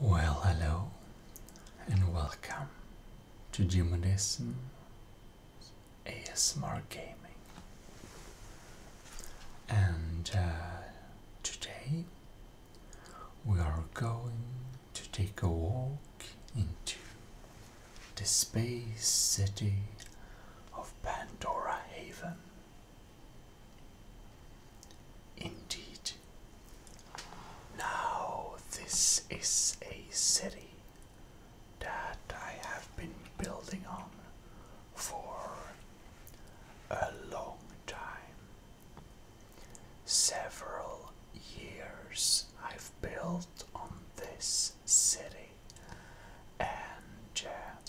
Well, hello and welcome to Jimodism ASMR Gaming. And uh, today we are going to take a walk into the space city of Pandora Haven. Indeed. Now, this is a city that I have been building on for a long time. Several years I've built on this city, and uh,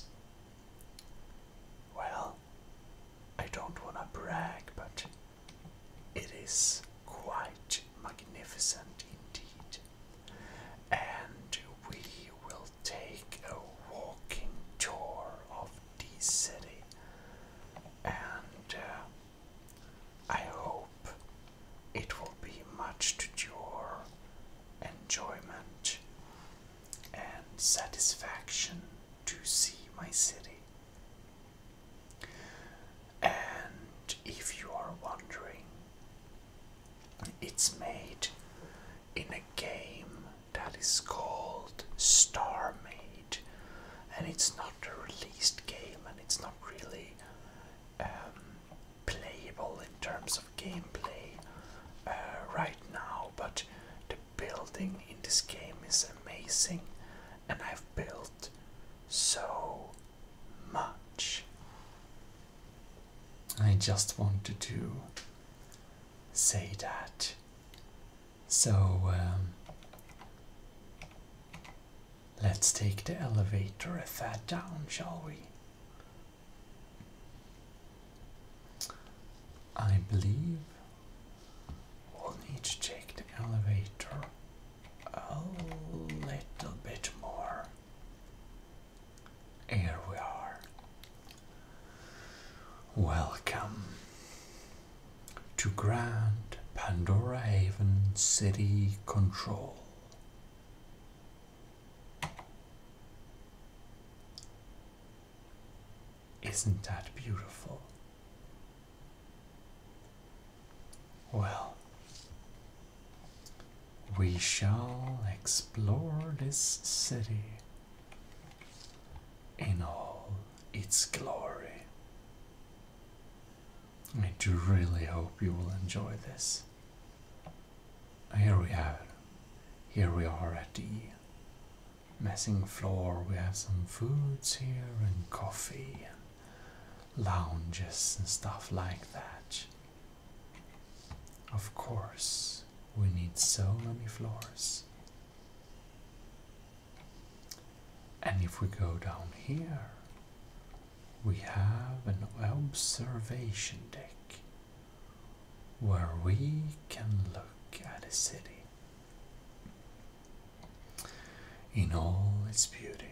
well, I don't want to brag, but it is quite magnificent indeed. And we will take a walking tour of the city, and uh, I hope it will be much to your enjoyment and satisfaction to see my city. And if you are wondering, it's made in a game that is called StarMade, and it's not a released game, and it's not really um, playable in terms of gameplay uh, right now. But the building in this game is amazing, and I've built so much. I just wanted to say that. So, um, let's take the elevator a tad down, shall we? I believe we'll need to check the elevator a little bit more. Here we are. Welcome to Grand Pandora Haven City Control. Isn't that beautiful? Well, we shall explore this city in all its glory. I do really hope you will enjoy this. Here we have it. Here we are at the messing floor we have some foods here and coffee and lounges and stuff like that of course we need so many floors and if we go down here we have an observation deck where we can look at a city in all its beauty,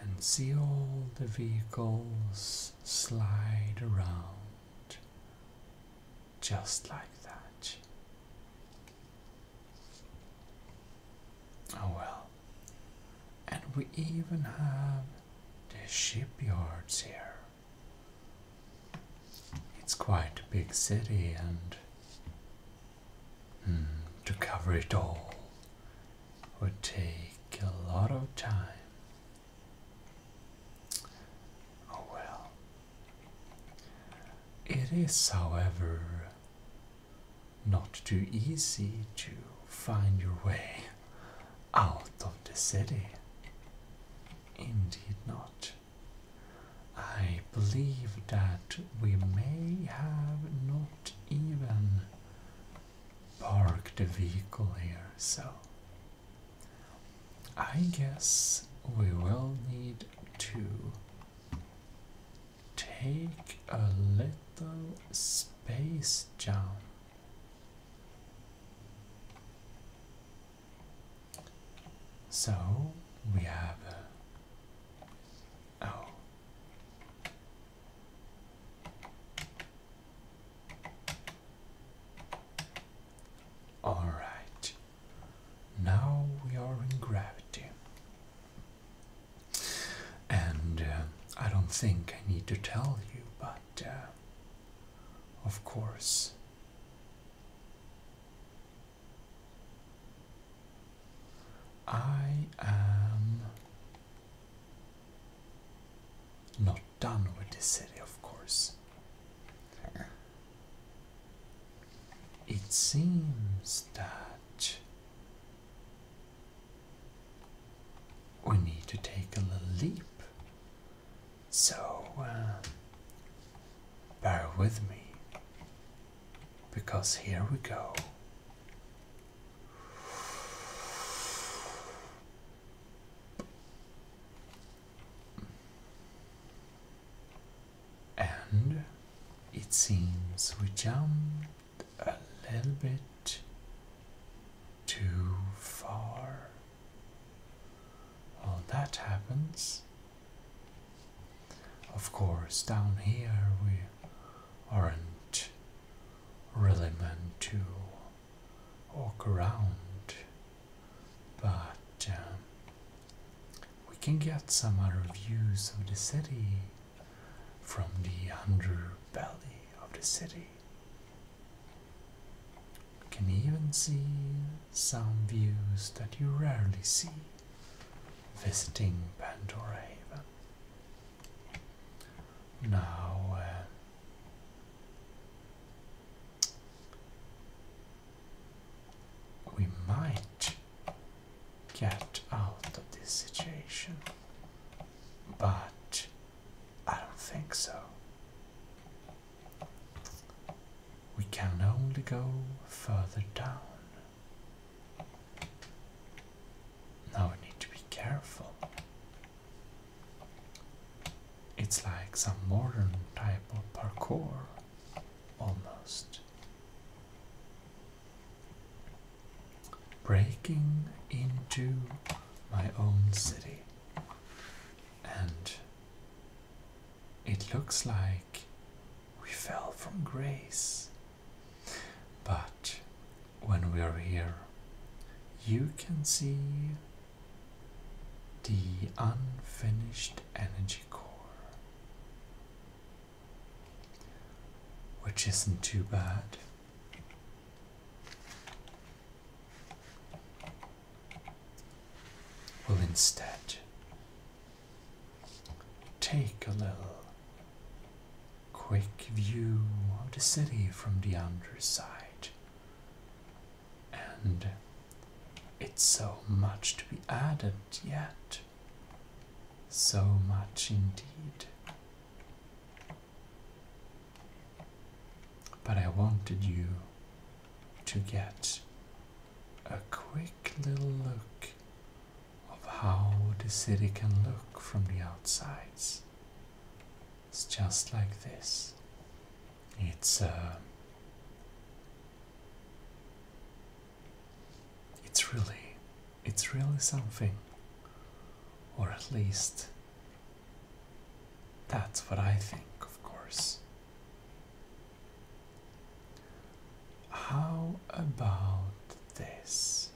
and see all the vehicles slide around just like that. Oh well, and we even have the shipyards here. It's quite a big city, and hmm, to cover it all would take a lot of time. Oh well. It is, however, not too easy to find your way out of the city. Indeed, not. I believe that we may have not even parked the vehicle here, so I guess we will need to take a little space jump. So we have. oh. All right. Now we are in gravity. And uh, I don't think I need to tell you, but uh, of course, I am not done with this city, of course. It seems that we need to take a little leap so, uh, bear with me, because here we go. And it seems we jumped a little bit too far. Well, that happens. Of course, down here we aren't really meant to walk around, but um, we can get some other views of the city from the underbelly of the city. We can even see some views that you rarely see visiting Pandora Haven. Now, uh, we might get out of this situation, but I don't think so. We can only go further down. Now we need to be careful. It's like some modern type of parkour, almost. Breaking into my own city and it looks like we fell from grace. But when we are here, you can see the unfinished energy core. Which isn't too bad will instead take a little quick view of the city from the underside. And it's so much to be added yet. So much indeed. But I wanted you to get a quick little look of how the city can look from the outside, It's just like this. It's uh, it's really it's really something or at least that's what I think of course how about this?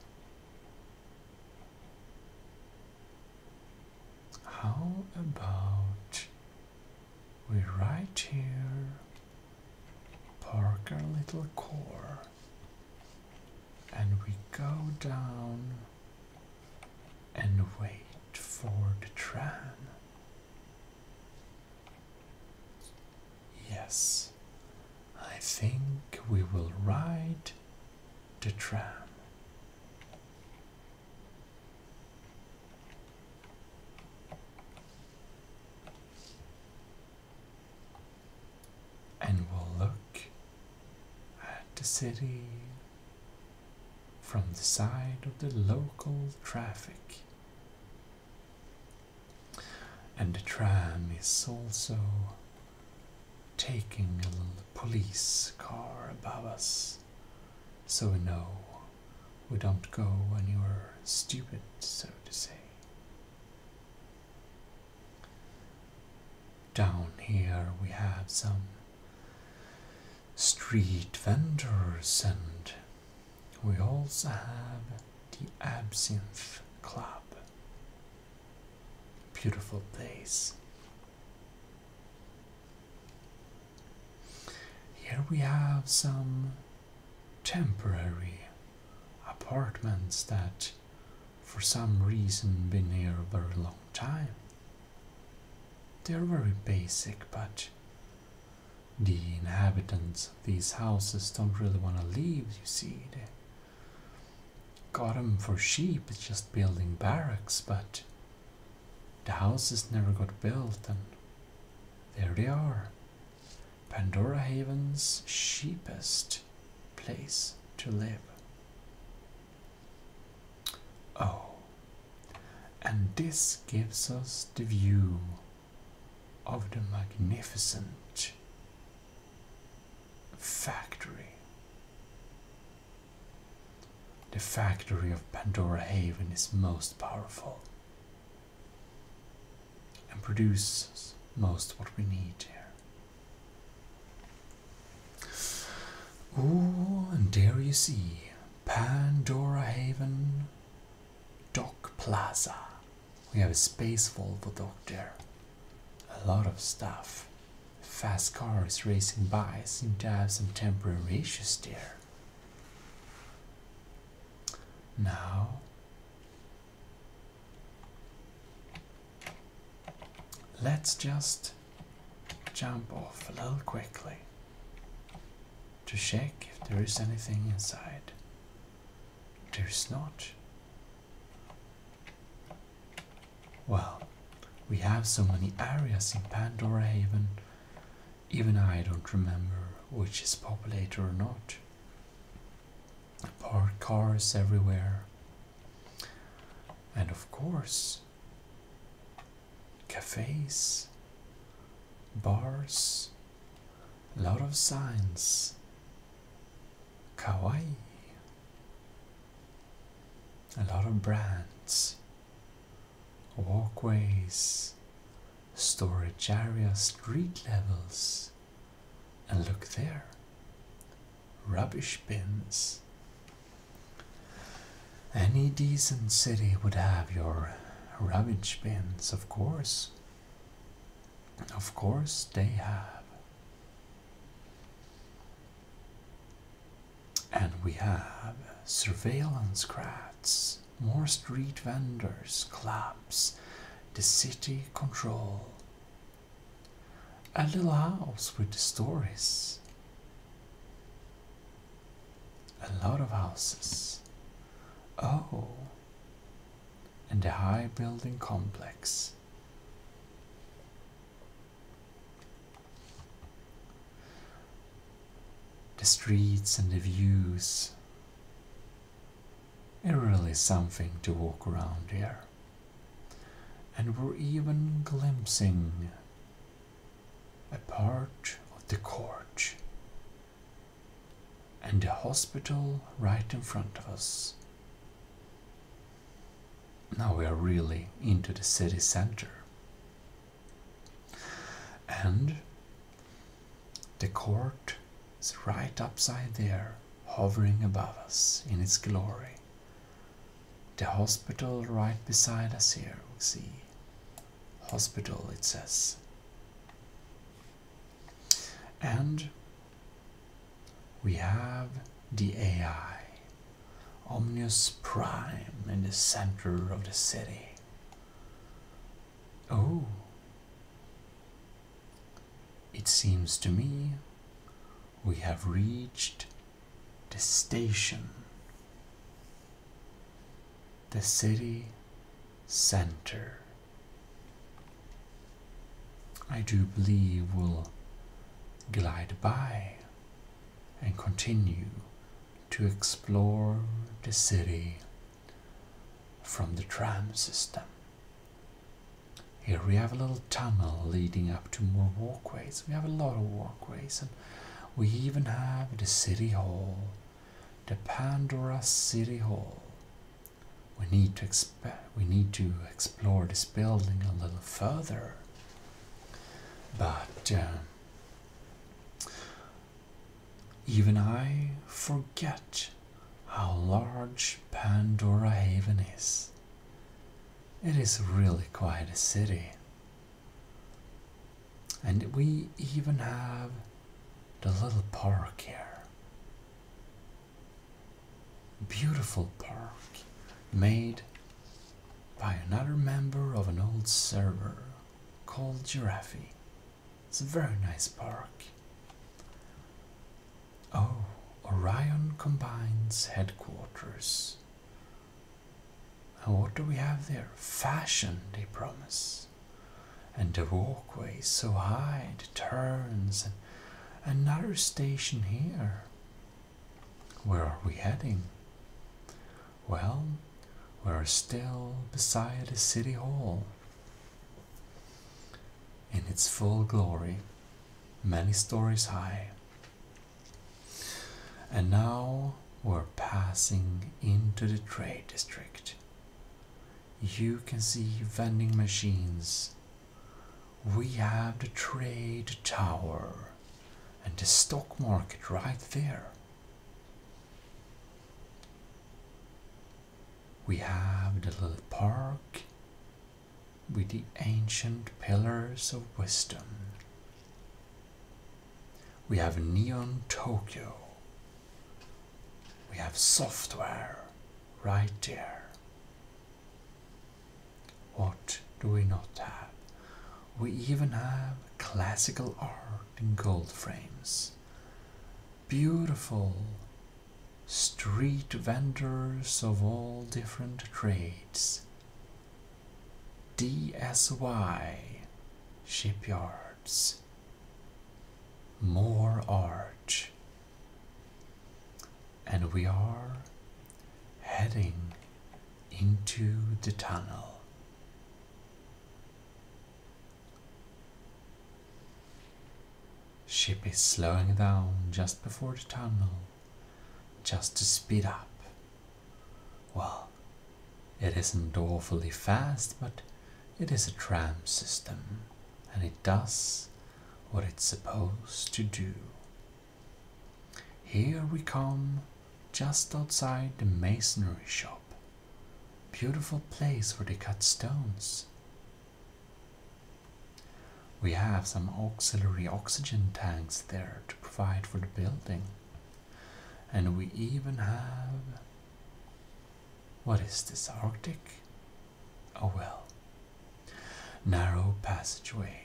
How about we ride here Parker Little Core and we go down and wait for the tram Yes, I think we will ride the tram. And we'll look at the city from the side of the local traffic and the tram is also taking a little police car above us. So we know we don't go when you're stupid, so to say. Down here we have some street vendors and we also have the Absinthe Club. Beautiful place. Here we have some temporary apartments that for some reason been here a very long time. They're very basic but the inhabitants of these houses don't really want to leave, you see. They got 'em for sheep, it's just building barracks, but the houses never got built, and there they are. Pandora Haven's cheapest place to live. Oh, and this gives us the view of the magnificent factory. The factory of Pandora Haven is most powerful and produces most what we need here. Ooh, and there you see Pandora Haven Dock Plaza. We have a space Volvo dock there. A lot of stuff. Fast cars racing by seem to have some temporary issues there. Now, let's just jump off a little quickly to check if there is anything inside. There's not. Well, we have so many areas in Pandora Haven, even I don't remember which is populated or not. Parked cars everywhere. And of course, cafes, bars, a lot of signs. Kawaii. A lot of brands. Walkways. Storage area, street levels. And look there rubbish bins. Any decent city would have your rubbish bins, of course. Of course they have. And we have surveillance crafts, more street vendors, clubs, the city control, a little house with the stories, a lot of houses. Oh, and the high building complex. The streets and the views. It really something to walk around here. And we're even glimpsing a part of the court and the hospital right in front of us. Now we are really into the city center. And the court is right upside there, hovering above us in its glory. The hospital right beside us here, we see. Hospital, it says. And we have the AI, Omnious Prime, in the center of the city. Oh, it seems to me we have reached the station the city center. I do believe will glide by and continue to explore the city from the tram system. Here we have a little tunnel leading up to more walkways. We have a lot of walkways and we even have the city hall the Pandora City Hall. We need to exp- we need to explore this building a little further. But um, even I forget how large Pandora Haven is. It is really quite a city. And we even have the little park here. Beautiful park made by another member of an old server called Giraffe. It's a very nice park. Oh, Orion Combines Headquarters. And what do we have there? Fashion, they promise and the walkways, so high the turns and another station here where are we heading well we're still beside the city hall in its full glory many stories high and now we're passing into the trade district you can see vending machines. We have the trade tower and the stock market right there. We have the little park with the ancient pillars of wisdom. We have neon Tokyo we have software right there. What do we not have? We even have classical art in gold frames. Beautiful street vendors of all different trades. DSY Shipyards more arch, and we are heading into the tunnel. Ship is slowing down just before the tunnel, just to speed up. Well, it isn't awfully fast, but it is a tram system and it does what it's supposed to do. Here we come, just outside the masonry shop. Beautiful place where they cut stones. We have some auxiliary oxygen tanks there to provide for the building. And we even have... What is this, Arctic? a well. Narrow passageway.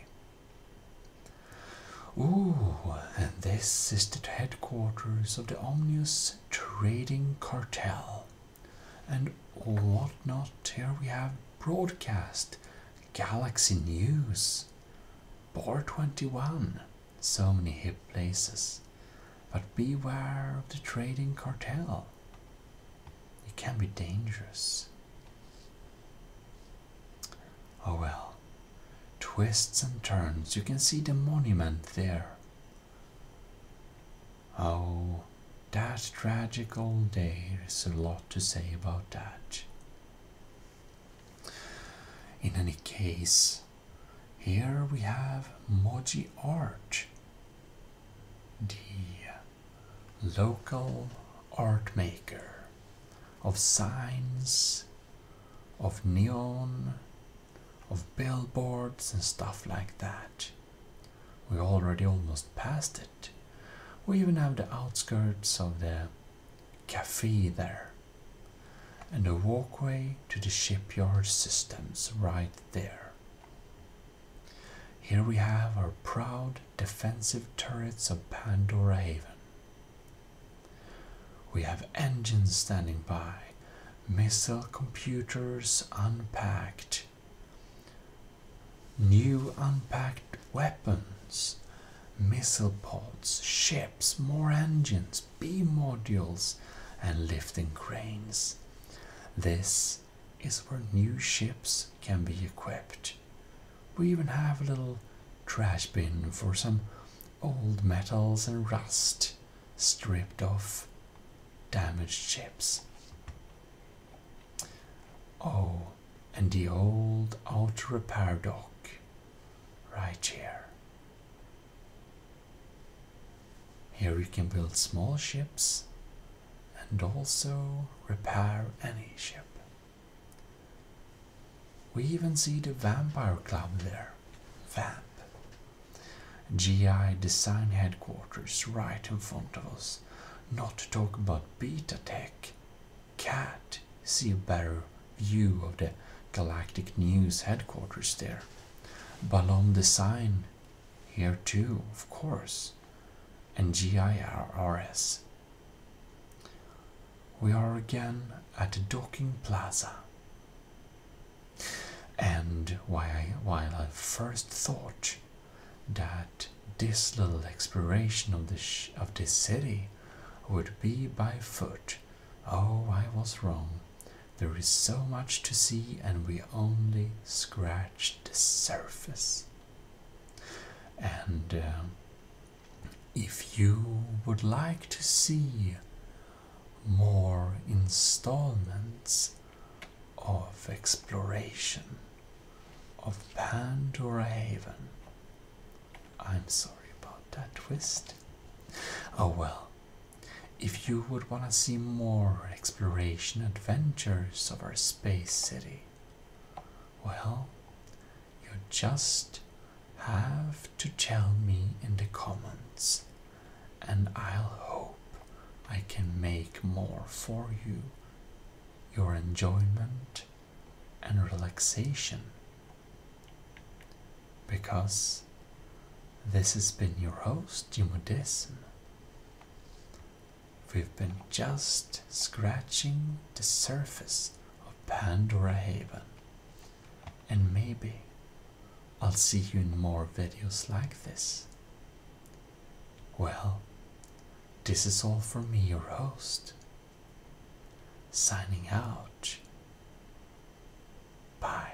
Ooh, and this is the headquarters of the Omnius Trading Cartel. And whatnot, here we have broadcast, Galaxy News, Bar 21, so many hip places. But beware of the trading cartel. It can be dangerous. Oh well, twists and turns. You can see the monument there. Oh, that tragic old day. There's a lot to say about that. In any case, here we have Moji Art the local art maker of signs, of neon, of billboards and stuff like that. We already almost passed it. We even have the outskirts of the cafe there. And the walkway to the shipyard systems right there. Here we have our proud defensive turrets of Pandora Haven. We have engines standing by, missile computers unpacked, new unpacked weapons, missile pods, ships, more engines, B modules, and lifting cranes. This is where new ships can be equipped. We even have a little trash bin for some old metals and rust stripped off damaged ships. Oh, and the old auto repair dock right here. Here we can build small ships and also repair any ship. We even see the Vampire Club there, VAMP. GI Design Headquarters right in front of us. Not to talk about Beta Tech. Cat see a better view of the Galactic News headquarters there. Ballon Design here too, of course, and GIRRS. We are again at the docking plaza. And while, I first thought that this little exploration of, the of this city would be by foot, oh, I was wrong. There is so much to see, and we only scratch the surface. And um, if you would like to see more installments of exploration of Pandora Haven, I'm sorry about that twist. Oh well, if you would want to see more exploration and adventures of our space city? Well, you just have to tell me in the comments, and I'll hope I can make more for you, your enjoyment and relaxation. Because this has been your host, Jimodism. We've been just scratching the surface of Pandora Haven. And maybe I'll see you in more videos like this. Well, this is all for me, your host. Signing out. Bye.